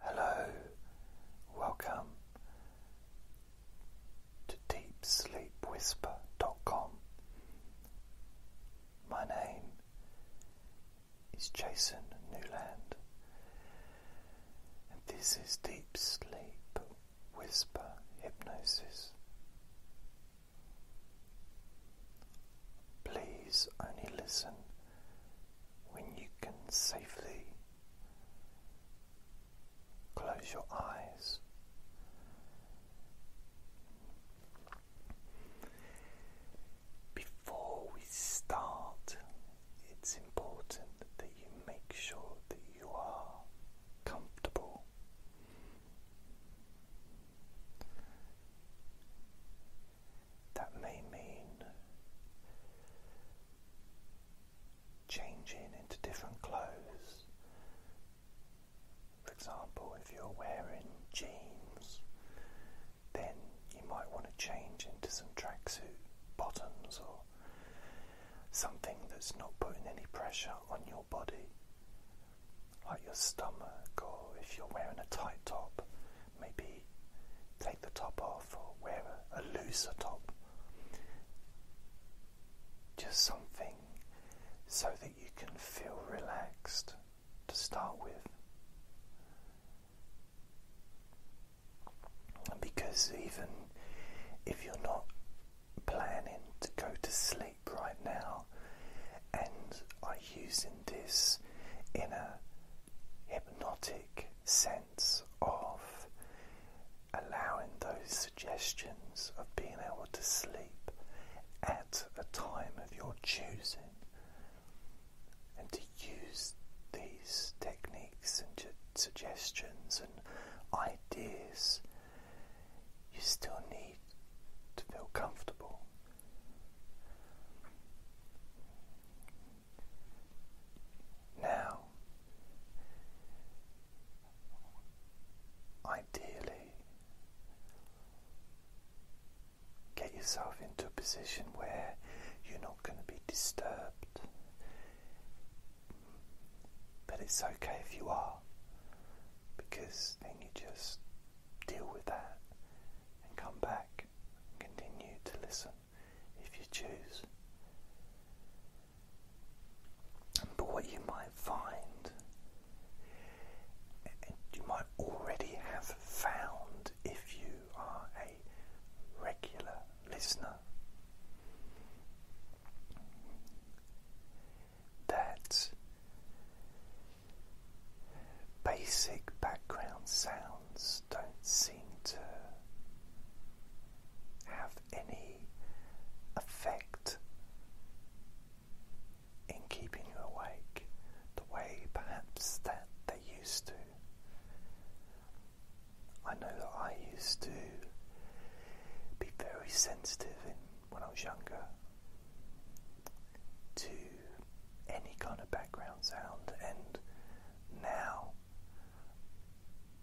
Hello, welcome to DeepSleepWhisper.com. My name is Jason Newland, and this is Deep Sleep Whisper Hypnosis. Please only listen when you can safely close your eyes. Before we start, it's important that you make sure that you are comfortable. That may mean changing into different clothes. For example, if you're wearing jeans, then you might want to change into some tracksuit bottoms or something that's not putting any pressure on your body, like your stomach, or if you're wearing a tight top, maybe take the top off or wear a, looser top. Just something so that you can feel relaxed to start with. Because even if you're not planning to go to sleep right now and are using this in a hypnotic sense of allowing those suggestions of being able to sleep at a time of your choosing and to use these techniques and suggestions and ideas, you still need to feel comfortable. Now, ideally, get yourself into a position where you're not going to be disturbed. But it's okay if you are, because then you just deal with that and come back and continue to listen if you choose. But what you might find, you might already have found if you are a regular listener, that basic background sounds don't seem to have any effect in keeping you awake the way perhaps that they used to. I know that I used to be very sensitive in, when I was younger to any kind of background sound, and now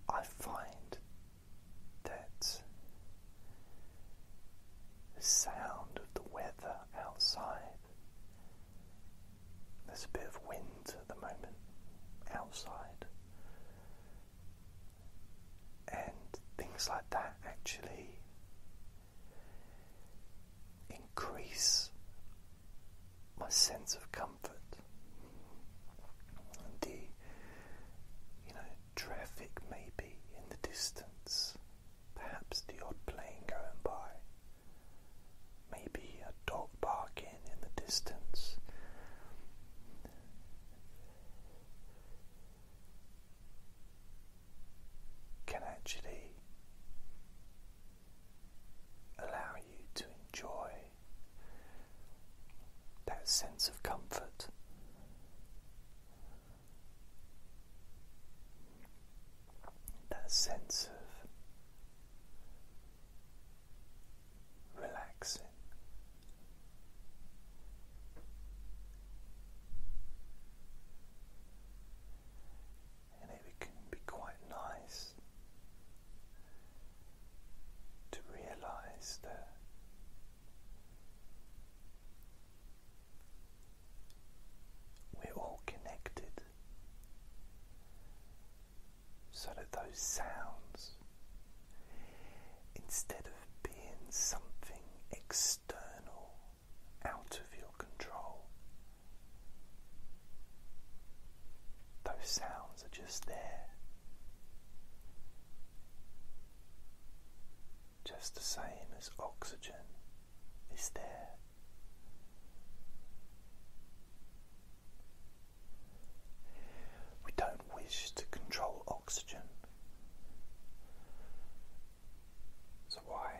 I find that the sound of the weather outside. There's a bit of wind at the moment outside, and things like that actually increase my sense of comfort. And the you know traffic maybe in the distance, perhaps the odd plane going by, maybe a dog barking in the distance. Can actually allow you to enjoy that sense of comfort. That sense of relaxing and it can be quite nice to realize that we're all connected so that those sounds instead of being something external out of your control. Those sounds are just there. Just the same as oxygen is there. We don't wish to control oxygen. So why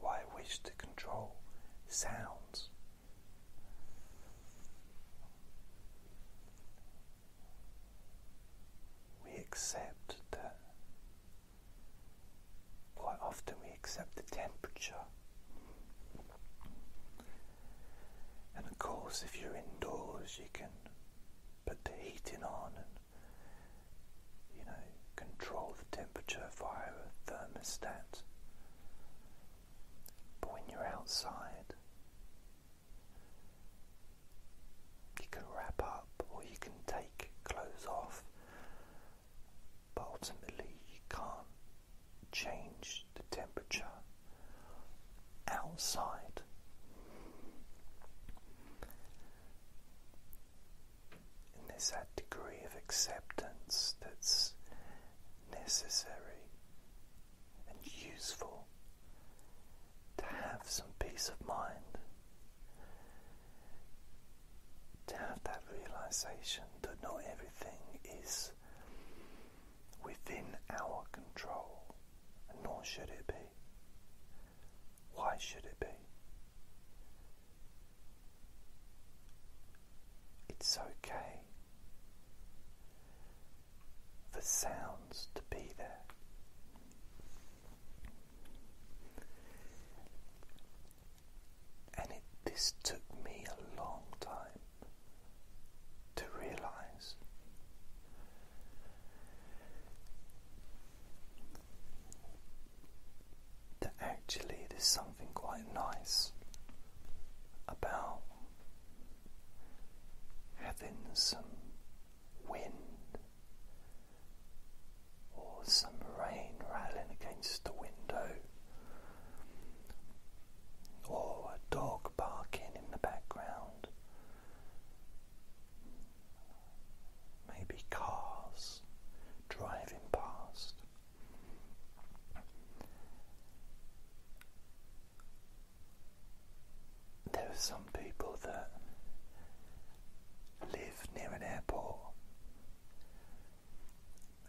why wish to control sounds? We accept that quite often we accept the temperature. And of course if you're indoors you can put the heating on you know, control the temperature via a thermostat. But when you're outside, you can wrap up or you can take clothes off, but ultimately you can't change the temperature outside and there's that degree of acceptance that's necessary and useful to have some peace of mind, to have that realization that not everything is within our control, nor should it be. Why should it be? It's okay for sounds to be there. And this took me a long time to realize that actually there's something quite nice about having some wind or some rain rattling against the window or a dog barking in the background maybe cars driving past. There are some people that live near an airport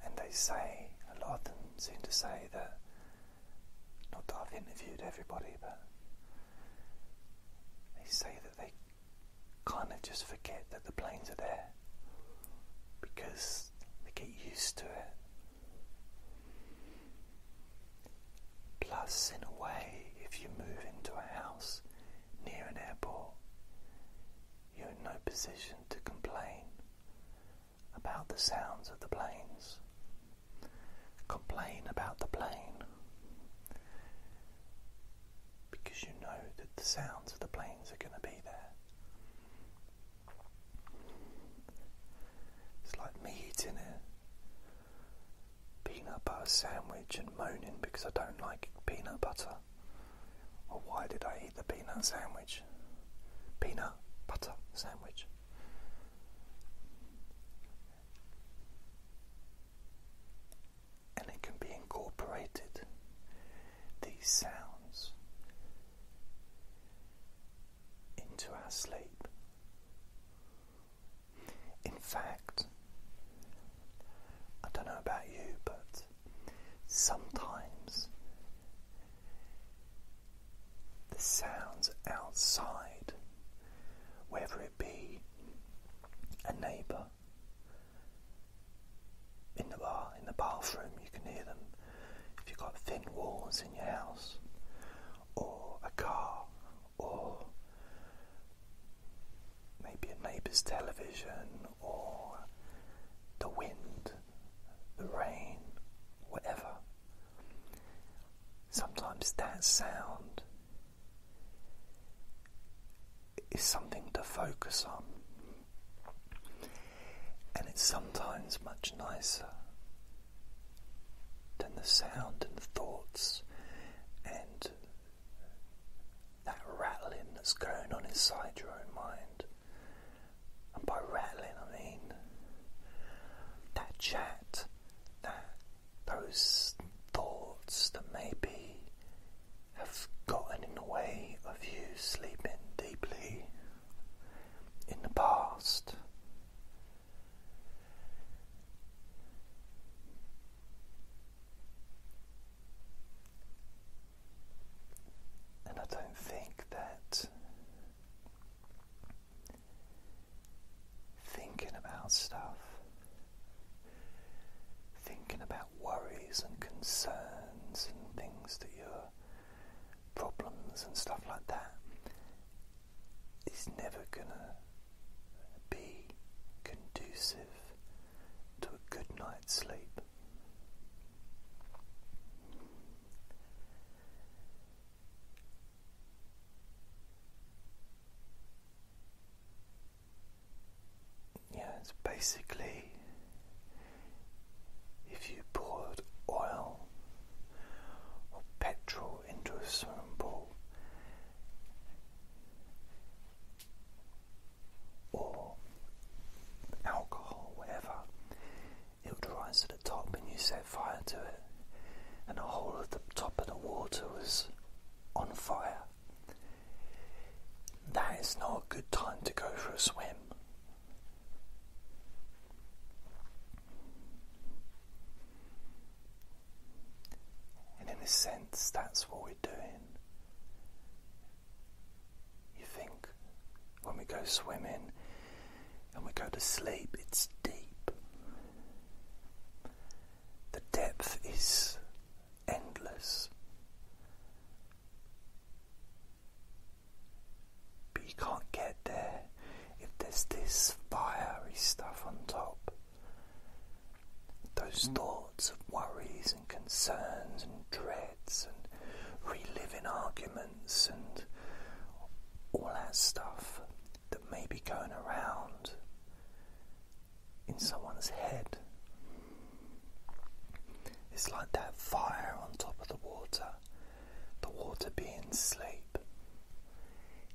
and they say, a lot of them seem to say that, not that I've interviewed everybody, but they say that they kind of just forget that the planes are there because they get used to it. Plus, in a way, if you move into a house near an airport, you're in no position to complain about the sounds of the planes, complain about the plane because you know that the sounds of the planes are going to be there. It's like me eating a peanut butter sandwich and moaning because I don't like peanut butter. Or why did I eat the peanut sandwich? Peanut butter sandwich and it can be incorporated. These sounds into our sleep. In fact, I don't know about you, but sometimes the sounds outside, whether it be a neighbour in the bar, in the bathroom, you can hear them. If you've got thin walls in your house, or a car, or maybe a neighbour's television, or the wind, the rain, whatever. Sometimes that sound is something to focus on, and it's sometimes much nicer than the sound and the thoughts and that rattling that's going on inside your own mind. And by rattling, I mean that chat, that those thoughts that maybe have gotten in the way of you sleeping deeply in the past. And I don't think that thinking about stuff, thinking about worries and concerns and things that your problems and stuff like that is never gonna be conducive to a good night's sleep you it's basically if you poured oil or petrol into a swimming pool or alcohol, whatever, it would rise to the top and you set fire to it, and the whole of the top of the water was on fire. That is not a good time to go for a swim. And in a sense, that's what we're doing. You think when we go swimming and we go to sleep, it's deep. The depth is endless. We can't get there if there's this fiery stuff on top. Those mm. thoughts of worries and concerns and dreads and reliving arguments and all that stuff that may be going around in someone's head. It's like that fire on top of the water, the water being sleep,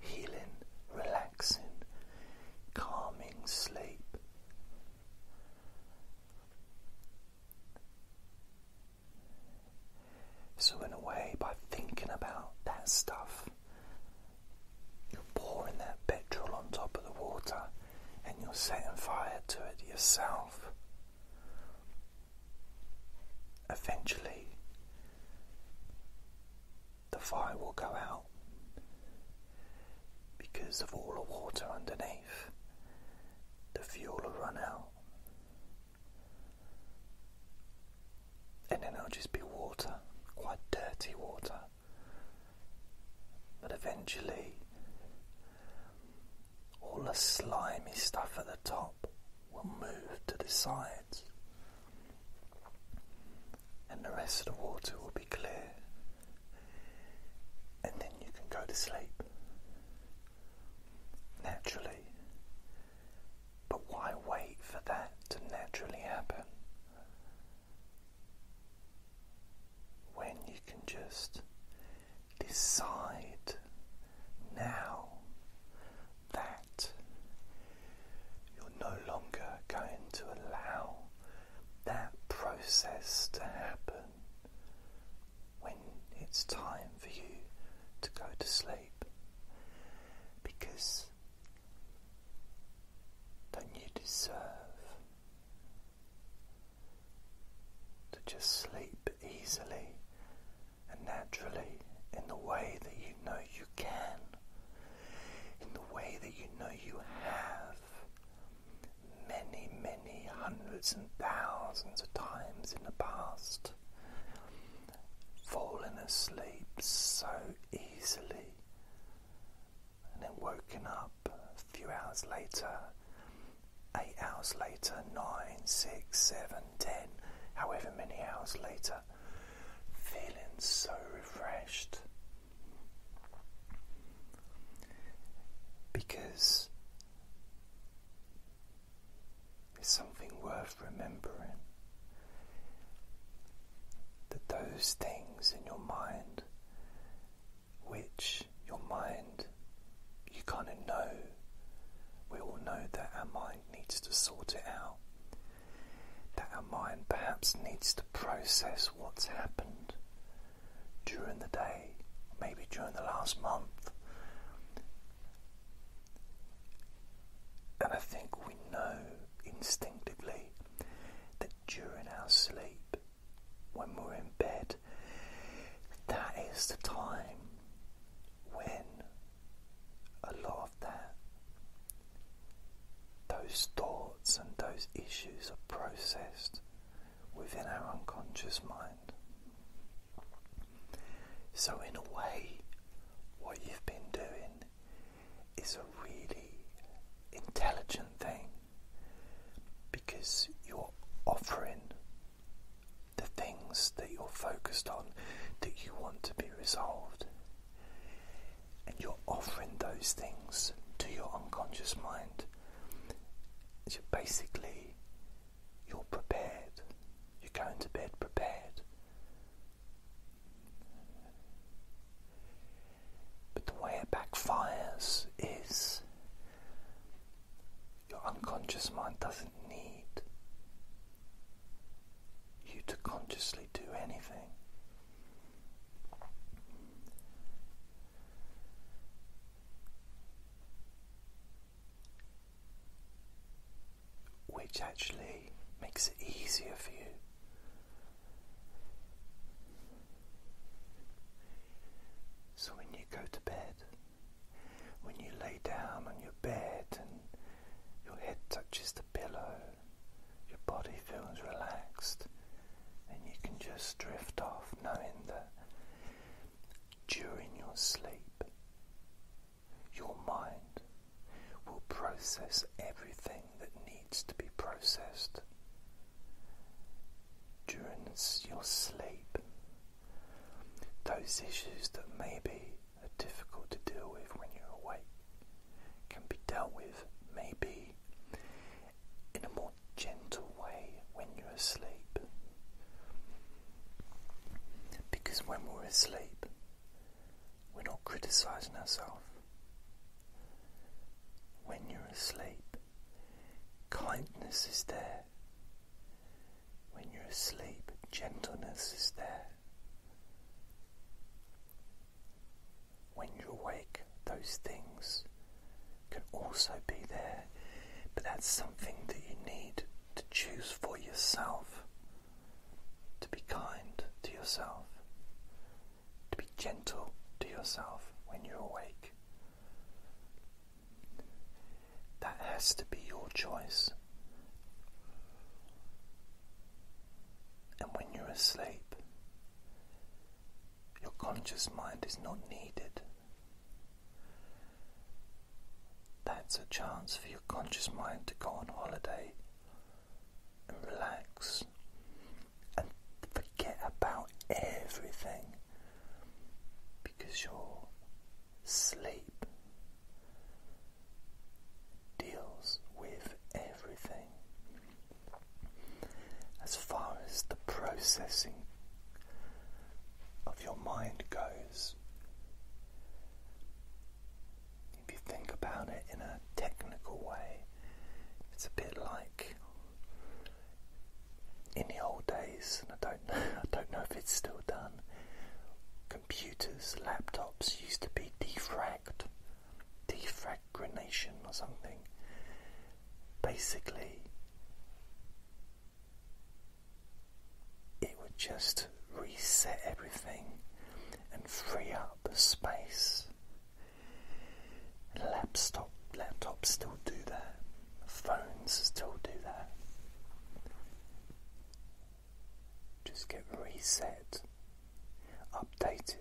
healing, relaxing, calming sleep. So, in a way, by thinking about that stuff, you're pouring that petrol on top of the water and you're setting fire to it yourself. Eventually, the fire will go out because of all the water underneath, the fuel will run out and then it'll just be water, quite dirty water. But eventually, all the slimy stuff at the top will move to the sides, and the rest of the water will be clear, and then you can go to sleep. Naturally, but why wait for that to naturally happen when you can just decide now that you're no longer going to allow that process to happen when it's time for you to go to sleep? Because than you deserve. To just sleep easily and naturally in the way that you know you can, in the way that you know you have many, many hundreds and thousands of times in the past fallen asleep so easily, and then woken up a few hours later, eight hours later, nine, six, seven, ten, however many hours later, feeling so refreshed. Because it's something worth remembering that those things in your mind, which your mind, you kind of know, we all know that our mind needs to sort it out, that our mind perhaps needs to process what's happened during the day, maybe during the last month. And I think we know instinctively that during our sleep, when we're in bed, that is the time when a lot of that, those thoughts and those issues are processed within our unconscious mind. So, in a way, what you've been doing is a really intelligent thing because you're offering the things that you're focused on that you want to be resolved, and you're offering those things to your unconscious mind. So basically, you're prepared, you're going to bed prepared but the way it backfires is your unconscious mind doesn't need you to consciously do anything which actually makes it easier for you. So when you go to bed, when you lay down on your bed and your head touches the pillow, your body feels relaxed, and you can just drift off knowing that during your sleep your mind will process everything that needs to be processed during your sleep. Those issues that maybe are difficult to deal with when you're awake can be dealt with maybe in a more gentle way when you're asleep. Because when we're asleep, we're not criticizing ourselves. When you're asleep, kindness is there. When you're asleep, gentleness is there. When you're awake, those things can also be there, but that's something that you need to choose for yourself to be kind to yourself, to be gentle to yourself when you're awake. That has to be your choice. And when you're asleep, your conscious mind is not needed. That's a chance for your conscious mind to go on holiday and relax and forget about everything because your sleep deals with everything. As far as the processing of your mind goes, if you think about it in a technical way, it's a bit like in the old days, and I don't know, I don't know if it's still done. Computers, laptops used to be defragged, defragmentation or something. Basically, it would just reset everything and free up space. Laptop, laptops still do that. Phones still do that. Just get reset, updated.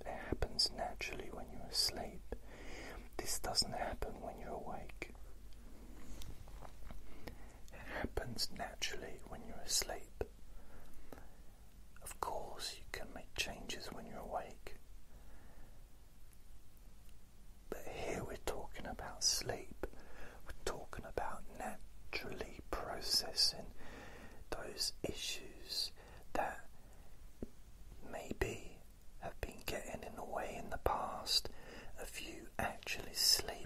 It happens naturally when you're asleep. This doesn't happen when you're awake. It happens naturally when you're asleep. Of course, you can make changes when you're awake. But here we're talking about sleep, we're talking about naturally processing those issues that maybe have been getting in the way in the past of you actually sleeping.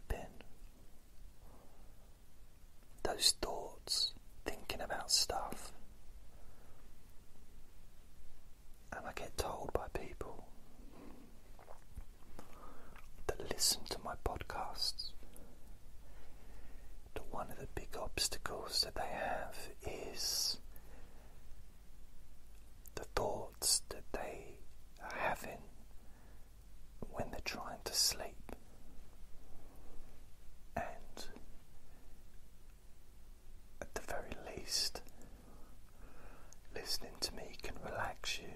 Those thoughts, thinking about stuff. And I get told by people that listen to my podcasts that one of the big obstacles that they have is the thought that they are having when they're trying to sleep. And at the very least, listening to me can relax you,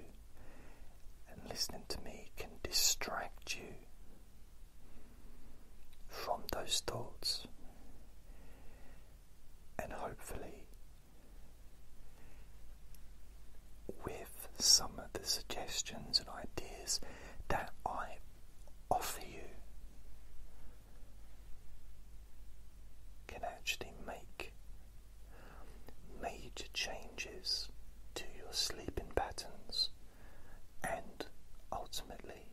and listening to me can distract you from those thoughts. And hopefully, with some of the suggestions and ideas that I offer you can actually make major changes to your sleeping patterns and ultimately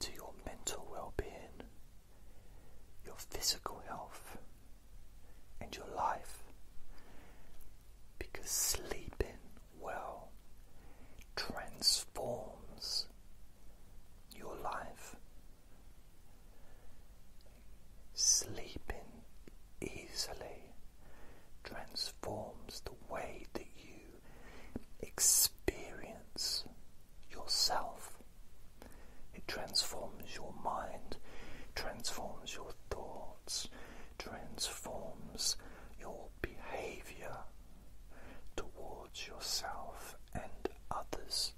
to your mental well being, your physical health, and your life. Because sleeping well transforms your life. Sleeping easily transforms the way that you experience yourself. It transforms your mind, transforms your thoughts, transforms your behavior towards yourself and others.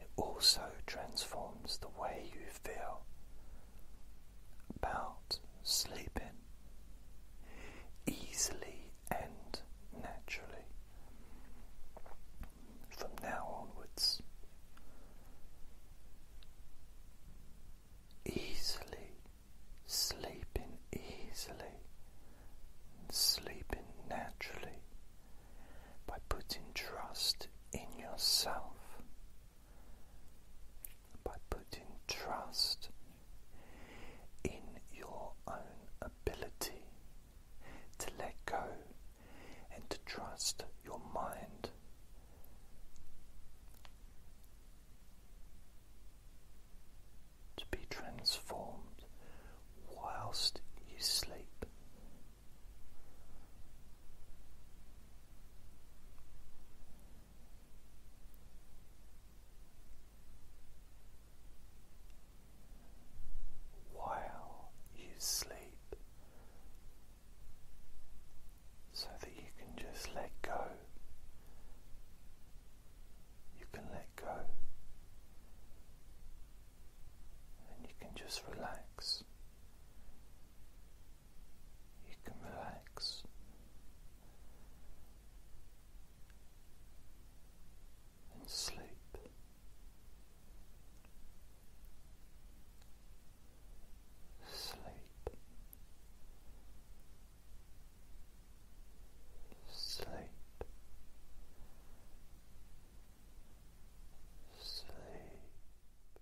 It also transforms the way you feel about sleeping. Easily and naturally from now onwards. Easily sleeping, easily sleeping naturally by putting trust in yourself, by putting trust in your own ability to let go and to trust your mind. To be transformed whilst you sleep while you sleep so that you can just let go. You can let go and you can just relax. You can relax and sleep. Sleep. Sleep. Sleep.